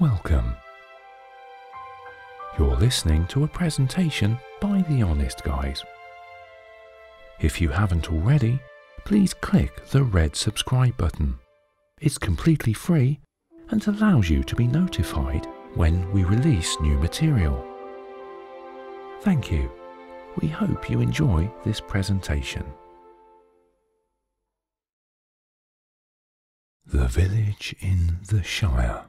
Welcome. You're listening to a presentation by The Honest Guys. If you haven't already, please click the red subscribe button. It's completely free and allows you to be notified when we release new material. Thank you. We hope you enjoy this presentation. The village in the Shire.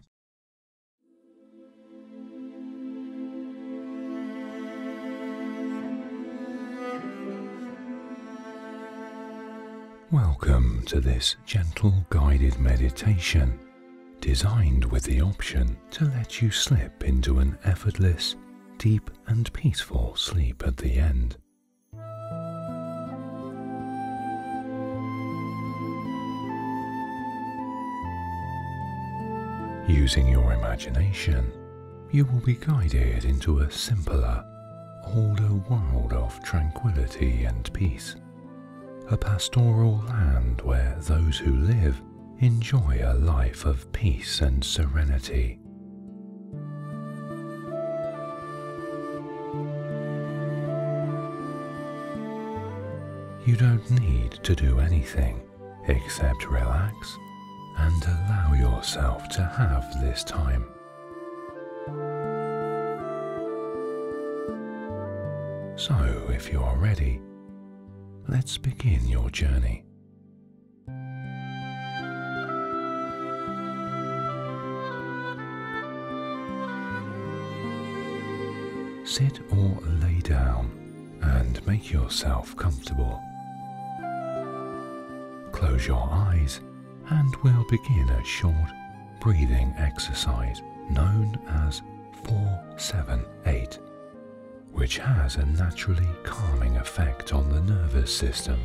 Welcome to this gentle guided meditation designed with the option to let you slip into an effortless, deep and peaceful sleep at the end. Using your imagination, you will be guided into a simpler, older world of tranquility and peace. A pastoral land where those who live enjoy a life of peace and serenity. You don't need to do anything except relax and allow yourself to have this time. So, if you are ready, let's begin your journey. Sit or lay down and make yourself comfortable. Close your eyes and we'll begin a short breathing exercise known as 478, which has a naturally calming effect on the nervous system.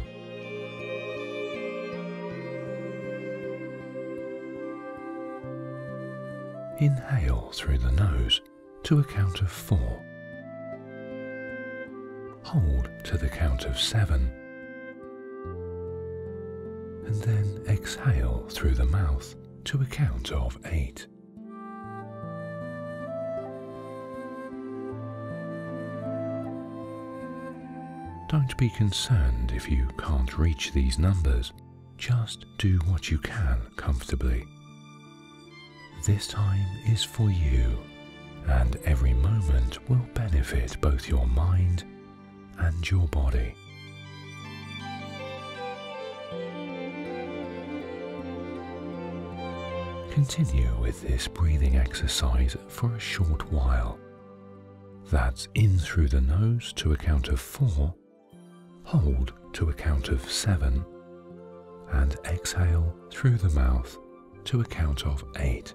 Inhale through the nose to a count of four. Hold to the count of seven. And then exhale through the mouth to a count of eight. Don't be concerned if you can't reach these numbers. Just do what you can comfortably. This time is for you, and every moment will benefit both your mind and your body. Continue with this breathing exercise for a short while. That's in through the nose to a count of four, hold to a count of seven, and exhale through the mouth to a count of eight.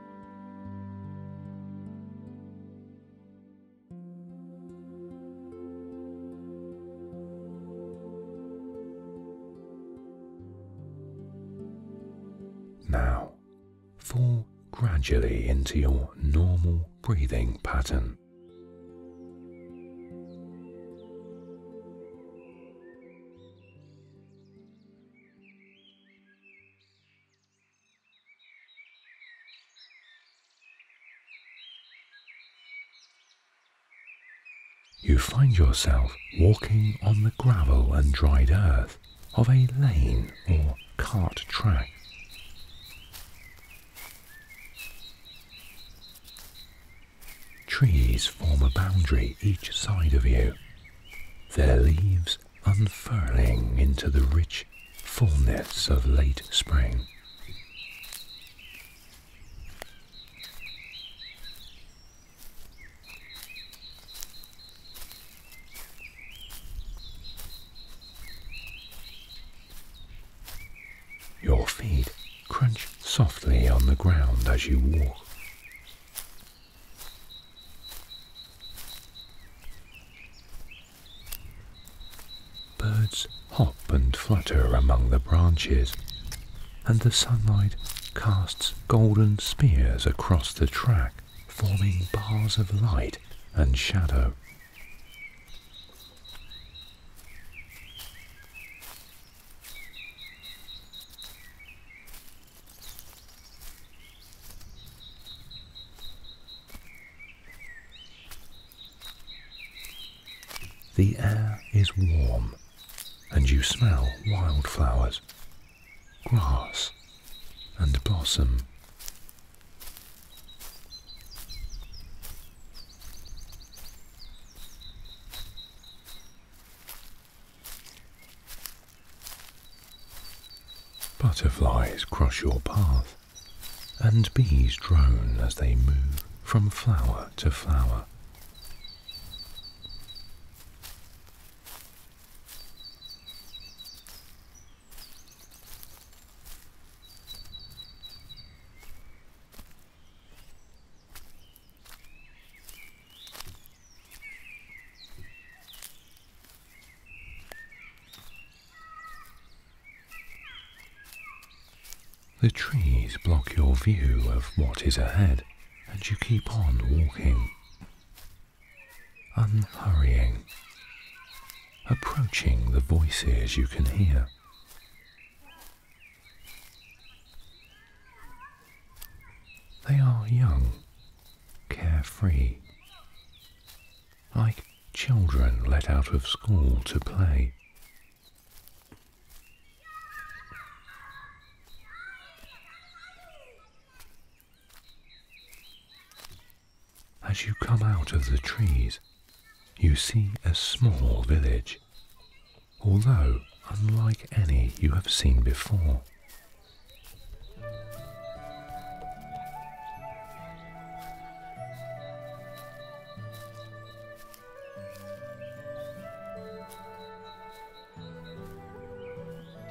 Now, fall gradually into your normal breathing pattern. You find yourself walking on the gravel and dried earth of a lane or cart track. Trees form a boundary each side of you, their leaves unfurling into the rich fullness of late spring. Your feet crunch softly on the ground as you walk. Birds hop and flutter among the branches, and the sunlight casts golden spears across the track, forming bars of light and shadow. The air is warm, and you smell wildflowers, grass, and blossom. Butterflies cross your path, and bees drone as they move from flower to flower. The trees block your view of what is ahead, and you keep on walking, unhurrying, approaching the voices you can hear. They are young carefree, like children let out of school to play. As you come out of the trees, you see a small village, although unlike any you have seen before.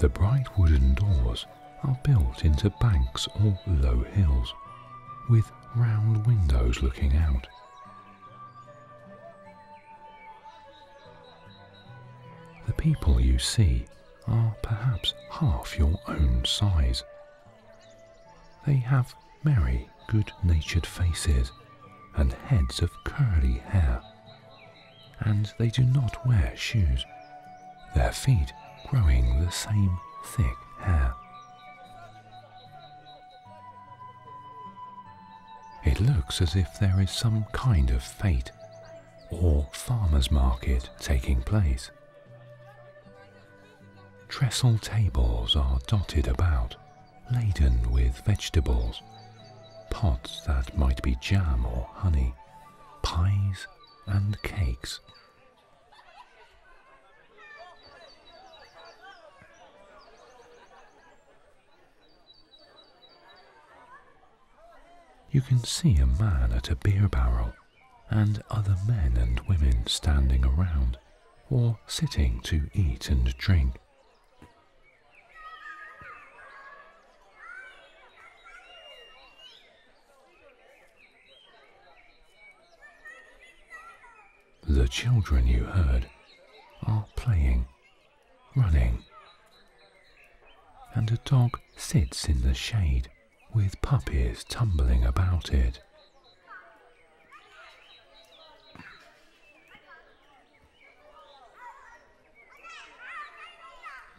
The bright wooden doors are built into banks or low hills, with round windows looking out. The people you see are perhaps half your own size. They have merry, good-natured faces and heads of curly hair, and they do not wear shoes, their feet growing the same thick hair. It looks as if there is some kind of fate or farmer's market taking place. Trestle tables are dotted about, laden with vegetables, pots that might be jam or honey, pies and cakes. You can see a man at a beer barrel and other men and women standing around or sitting to eat and drink. The children you heard are playing, running, and a dog sits in the shade with puppies tumbling about it.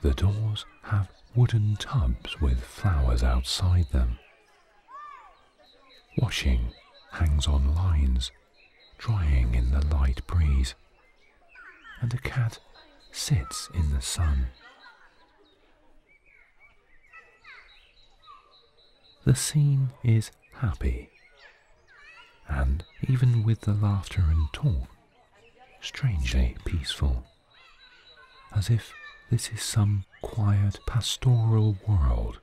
The doors have wooden tubs with flowers outside them. Washing hangs on lines, drying in the light breeze and a cat sits in the sun. The scene is happy, and even with the laughter and talk, strangely peaceful, as if this is some quiet pastoral world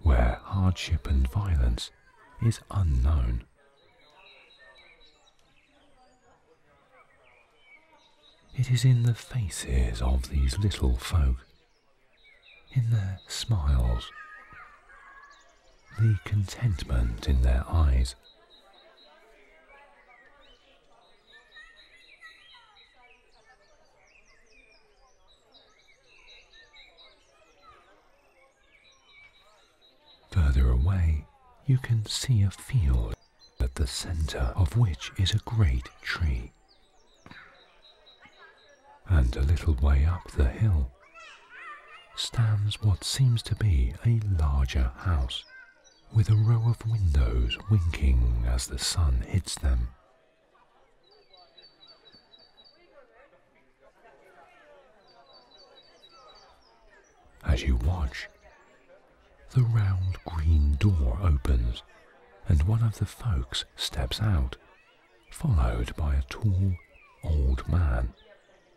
where hardship and violence is unknown. It is in the faces of these little folk, in their smiles, the contentment in their eyes. Further away, you can see a field at the center of which is a great tree. And a little way up the hill stands what seems to be a larger house, with a row of windows winking as the sun hits them. As you watch, the round green door opens and one of the folks steps out, followed by a tall, old man,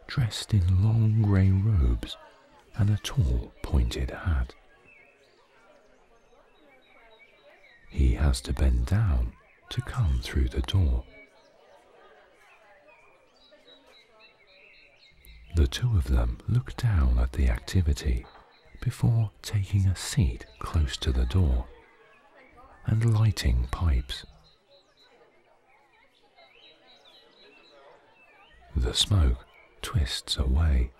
dressed in long grey robes and a tall, pointed hat. He has to bend down to come through the door. The two of them look down at the activity before taking a seat close to the door and lighting pipes. The smoke twists away,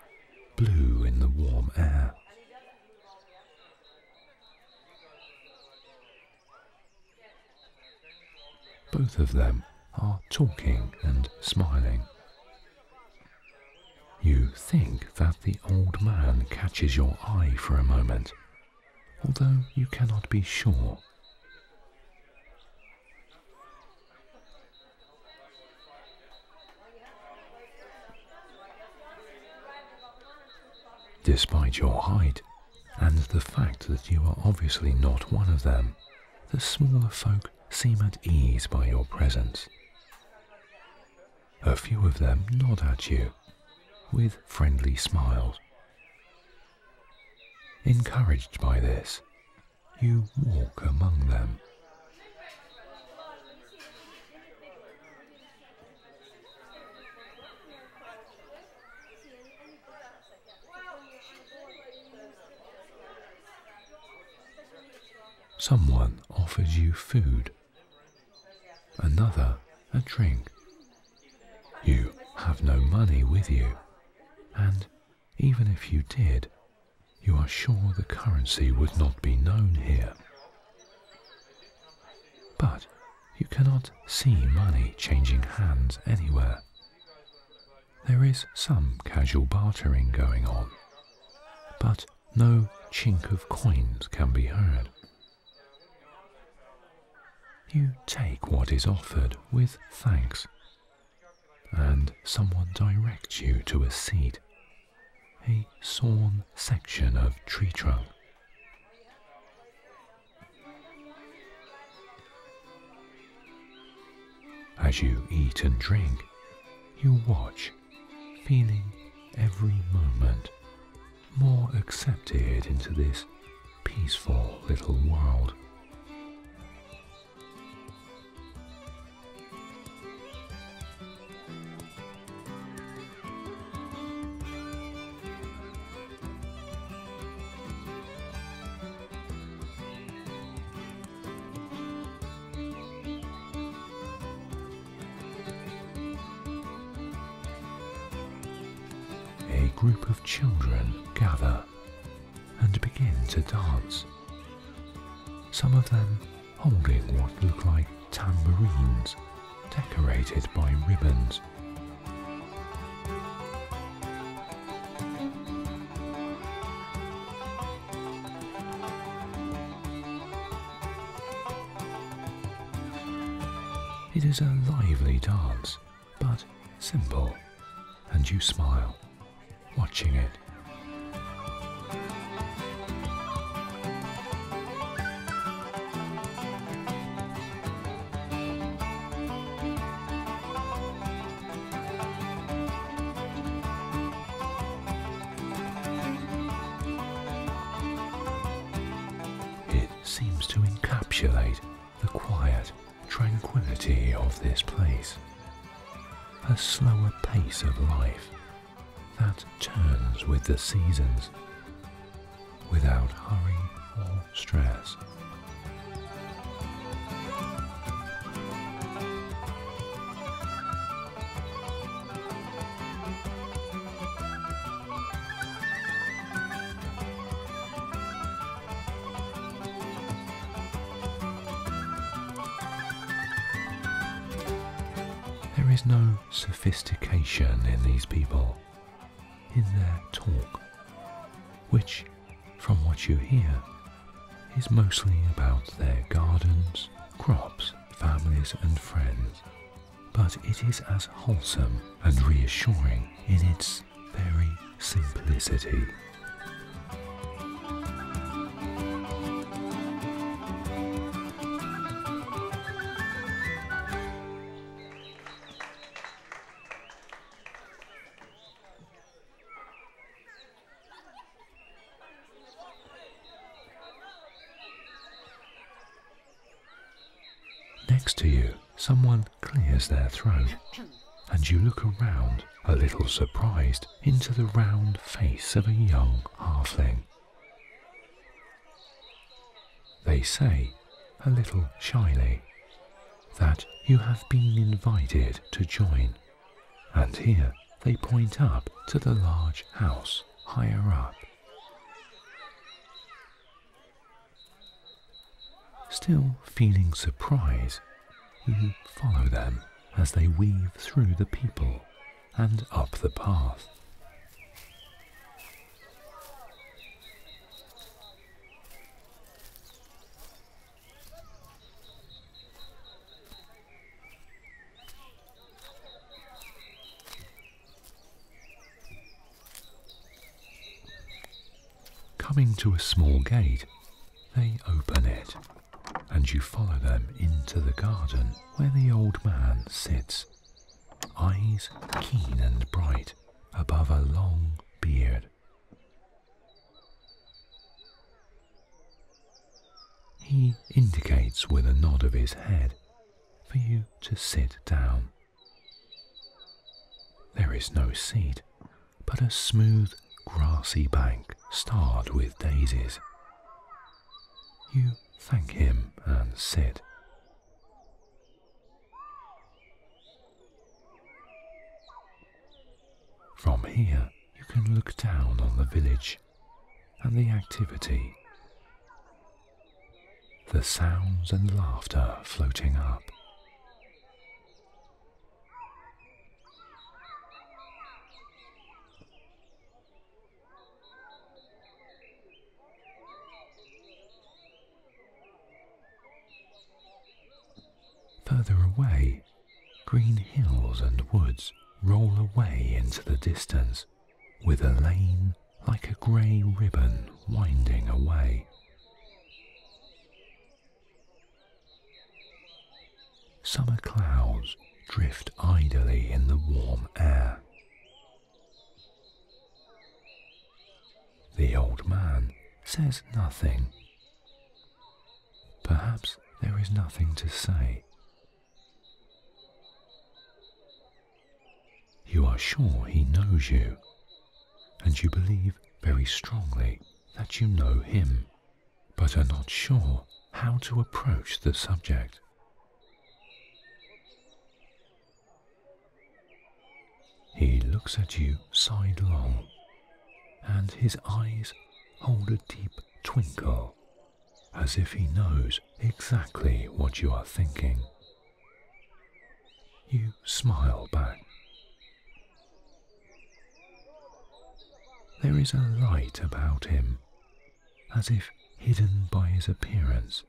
blue in the warm air. Both of them are talking and smiling. You think that the old man catches your eye for a moment, although you cannot be sure. Despite your height and the fact that you are obviously not one of them, the smaller folk seem at ease by your presence. A few of them nod at you with friendly smiles. Encouraged by this, you walk among them. Someone offers you food, another a drink. You have no money with you, and even if you did, you are sure the currency would not be known here. But you cannot see money changing hands anywhere. There is some casual bartering going on, but no chink of coins can be heard. You take what is offered with thanks, and someone directs you to a seat, a sawn section of tree trunk. As you eat and drink, you watch, feeling every moment more accepted into this peaceful little world. A group of children gather and begin to dance, some of them holding what look like tambourines decorated by ribbons. It is a lively dance, but simple, and you smile watching it. It seems to encapsulate the quiet tranquility of this place, a slower pace of life that turns with the seasons without hurry or stress. There is no sophistication in these people, in their talk, which from what you hear, is mostly about their gardens, crops, families, and friends, but it is as wholesome and reassuring in its very simplicity. Next to you, someone clears their throat, and you look around, a little surprised, into the round face of a young halfling. They say, a little shyly, that you have been invited to join and here they point up to the large house higher up. Still feeling surprise, you follow them as they weave through the people and up the path. Coming to a small gate, they open it, and you follow them into the garden where the old man sits, eyes keen and bright above a long beard. He indicates with a nod of his head for you to sit down. There is no seat, but a smooth, grassy bank starred with daisies. You thank him and sit. From here, you can look down on the village and the activity. The sounds and laughter floating up. Further away, Green hills and woods roll away into the distance, with a lane like a grey ribbon winding away. Summer clouds drift idly in the warm air. The old man says nothing. Perhaps there is nothing to say. You are sure he knows you, and you believe very strongly that you know him, but are not sure how to approach the subject. He looks at you sidelong, and his eyes hold a deep twinkle as if he knows exactly what you are thinking. You smile back. There is a light about him, as if hidden by his appearance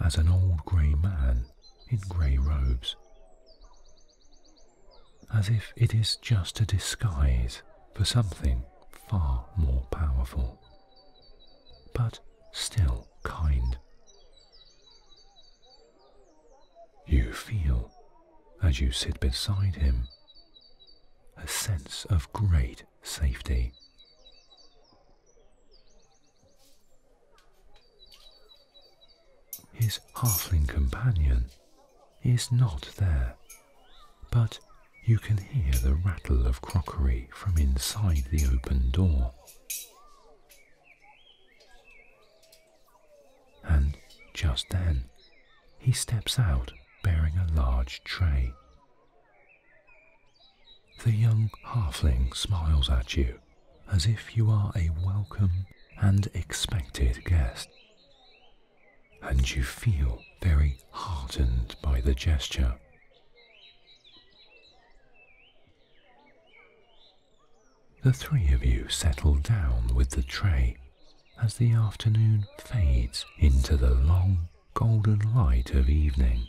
as an old grey man in grey robes, as if it is just a disguise for something far more powerful, but still kind. You feel, as you sit beside him, a sense of great safety. His halfling companion is not there, but you can hear the rattle of crockery from inside the open door. And just then, he steps out bearing a large tray. The young halfling smiles at you as if you are a welcome and expected guest and you feel very heartened by the gesture. The three of you settle down with the tray as the afternoon fades into the long golden light of evening.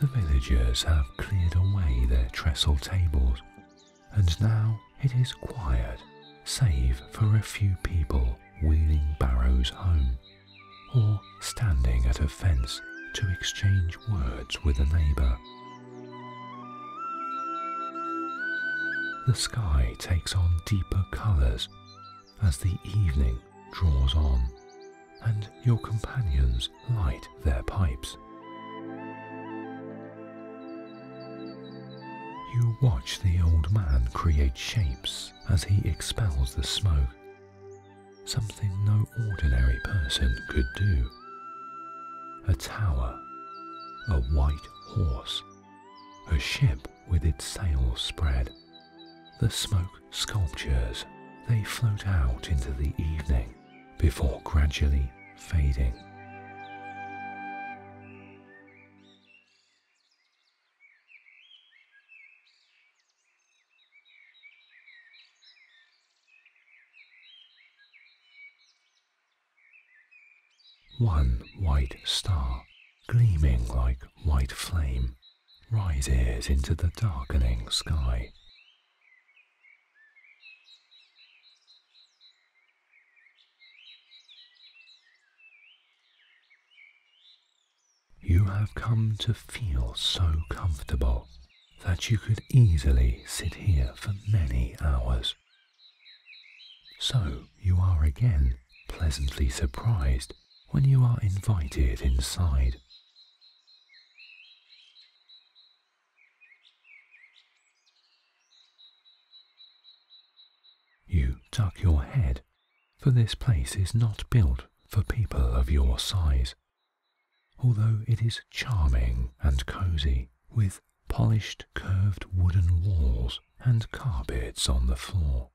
The villagers have cleared away their trestle tables, and now it is quiet, save for a few people wheeling barrows home, or standing at a fence to exchange words with a neighbour. The sky takes on deeper colours as the evening draws on and your companions light their pipes. You watch the old man create shapes as he expels the smoke, something no ordinary person could do. A tower, a white horse, a ship with its sails spread, the smoke sculptures, they float out into the evening before gradually fading. One white star, gleaming like white flame, rises into the darkening sky. You have come to feel so comfortable that you could easily sit here for many hours. So you are again pleasantly surprised when you are invited inside. You tuck your head, for this place is not built for people of your size, although it is charming and cosy, with polished curved wooden walls and carpets on the floor.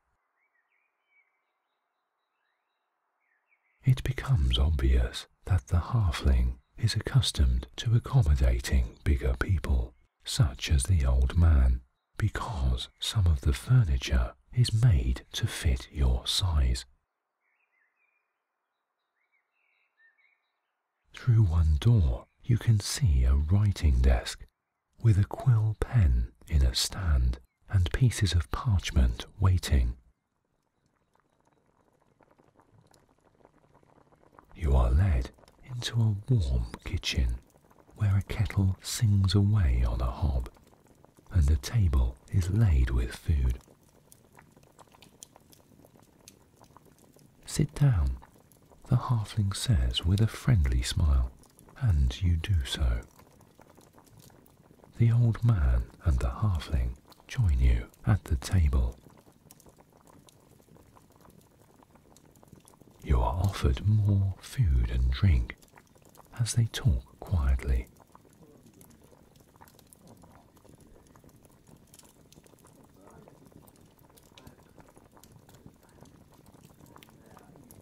It becomes obvious that the halfling is accustomed to accommodating bigger people, such as the old man, because some of the furniture is made to fit your size. Through one door, you can see a writing desk with a quill pen in a stand and pieces of parchment waiting. You are led into a warm kitchen where a kettle sings away on a hob and a table is laid with food. Sit down, the halfling says with a friendly smile and you do so. The old man and the halfling join you at the table. You are offered more food and drink as they talk quietly.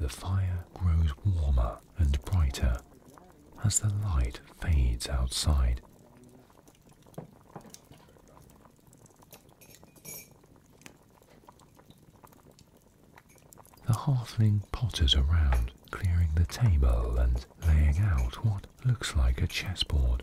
The fire grows warmer and brighter as the light fades outside. The halfling potters around, clearing the table and laying out what looks like a chessboard.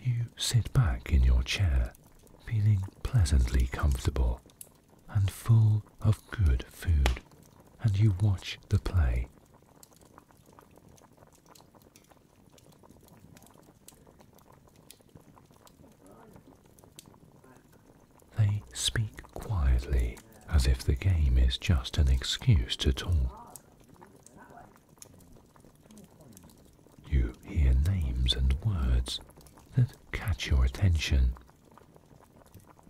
You sit back in your chair, feeling pleasantly comfortable and full of good food, and you watch the play. They speak quietly, as if the game is just an excuse to talk. You hear names and words that catch your attention.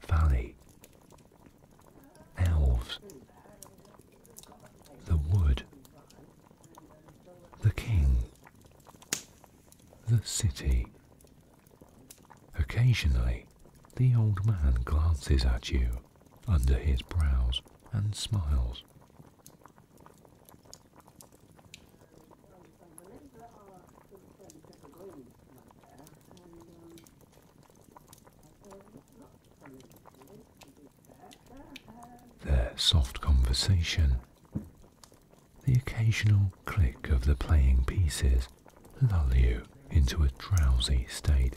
Valley, elves, the wood, the king, the city. Occasionally, the old man glances at you under his brows and smiles. Their soft conversation the occasional click of the playing pieces lull you into a drowsy state.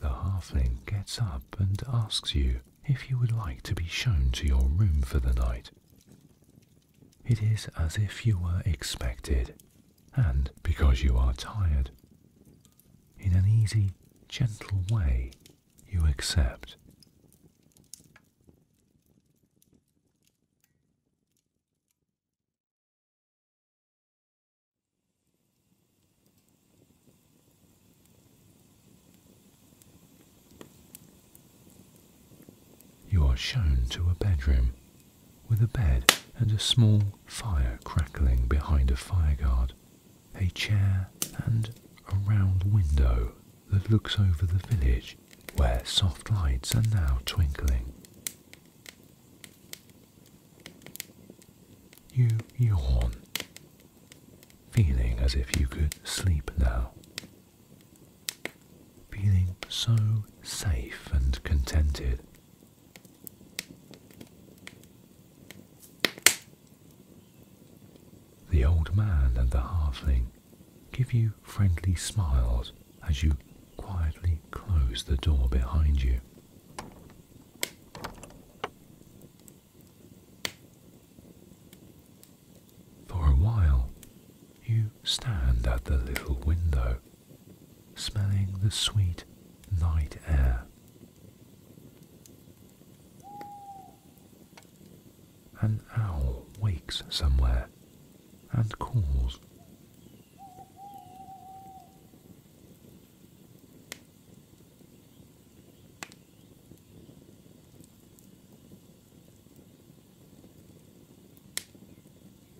The halfling gets up and asks you if you would like to be shown to your room for the night. It is as if you were expected, and because you are tired. In an easy, gentle way, you accept. You are shown to a bedroom with a bed and a small fire crackling behind a fireguard, a chair and a round window that looks over the village where soft lights are now twinkling. You yawn, feeling as if you could sleep now. Feeling so safe and contented. The old man and the halfling give you friendly smiles as you quietly close the door behind you. For a while, you stand at the little window, smelling the sweet night air. An owl wakes somewhere and calls.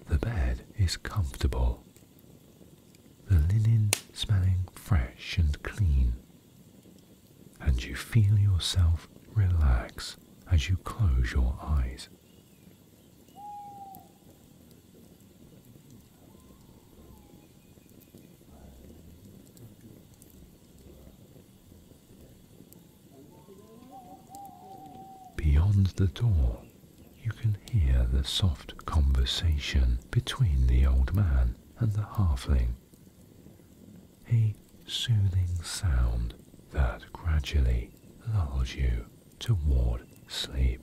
The bed is comfortable, the linen smelling fresh and clean, and you feel yourself relax as you close your eyes. Beyond the door, you can hear the soft conversation between the old man and the halfling, a soothing sound that gradually lulls you toward sleep.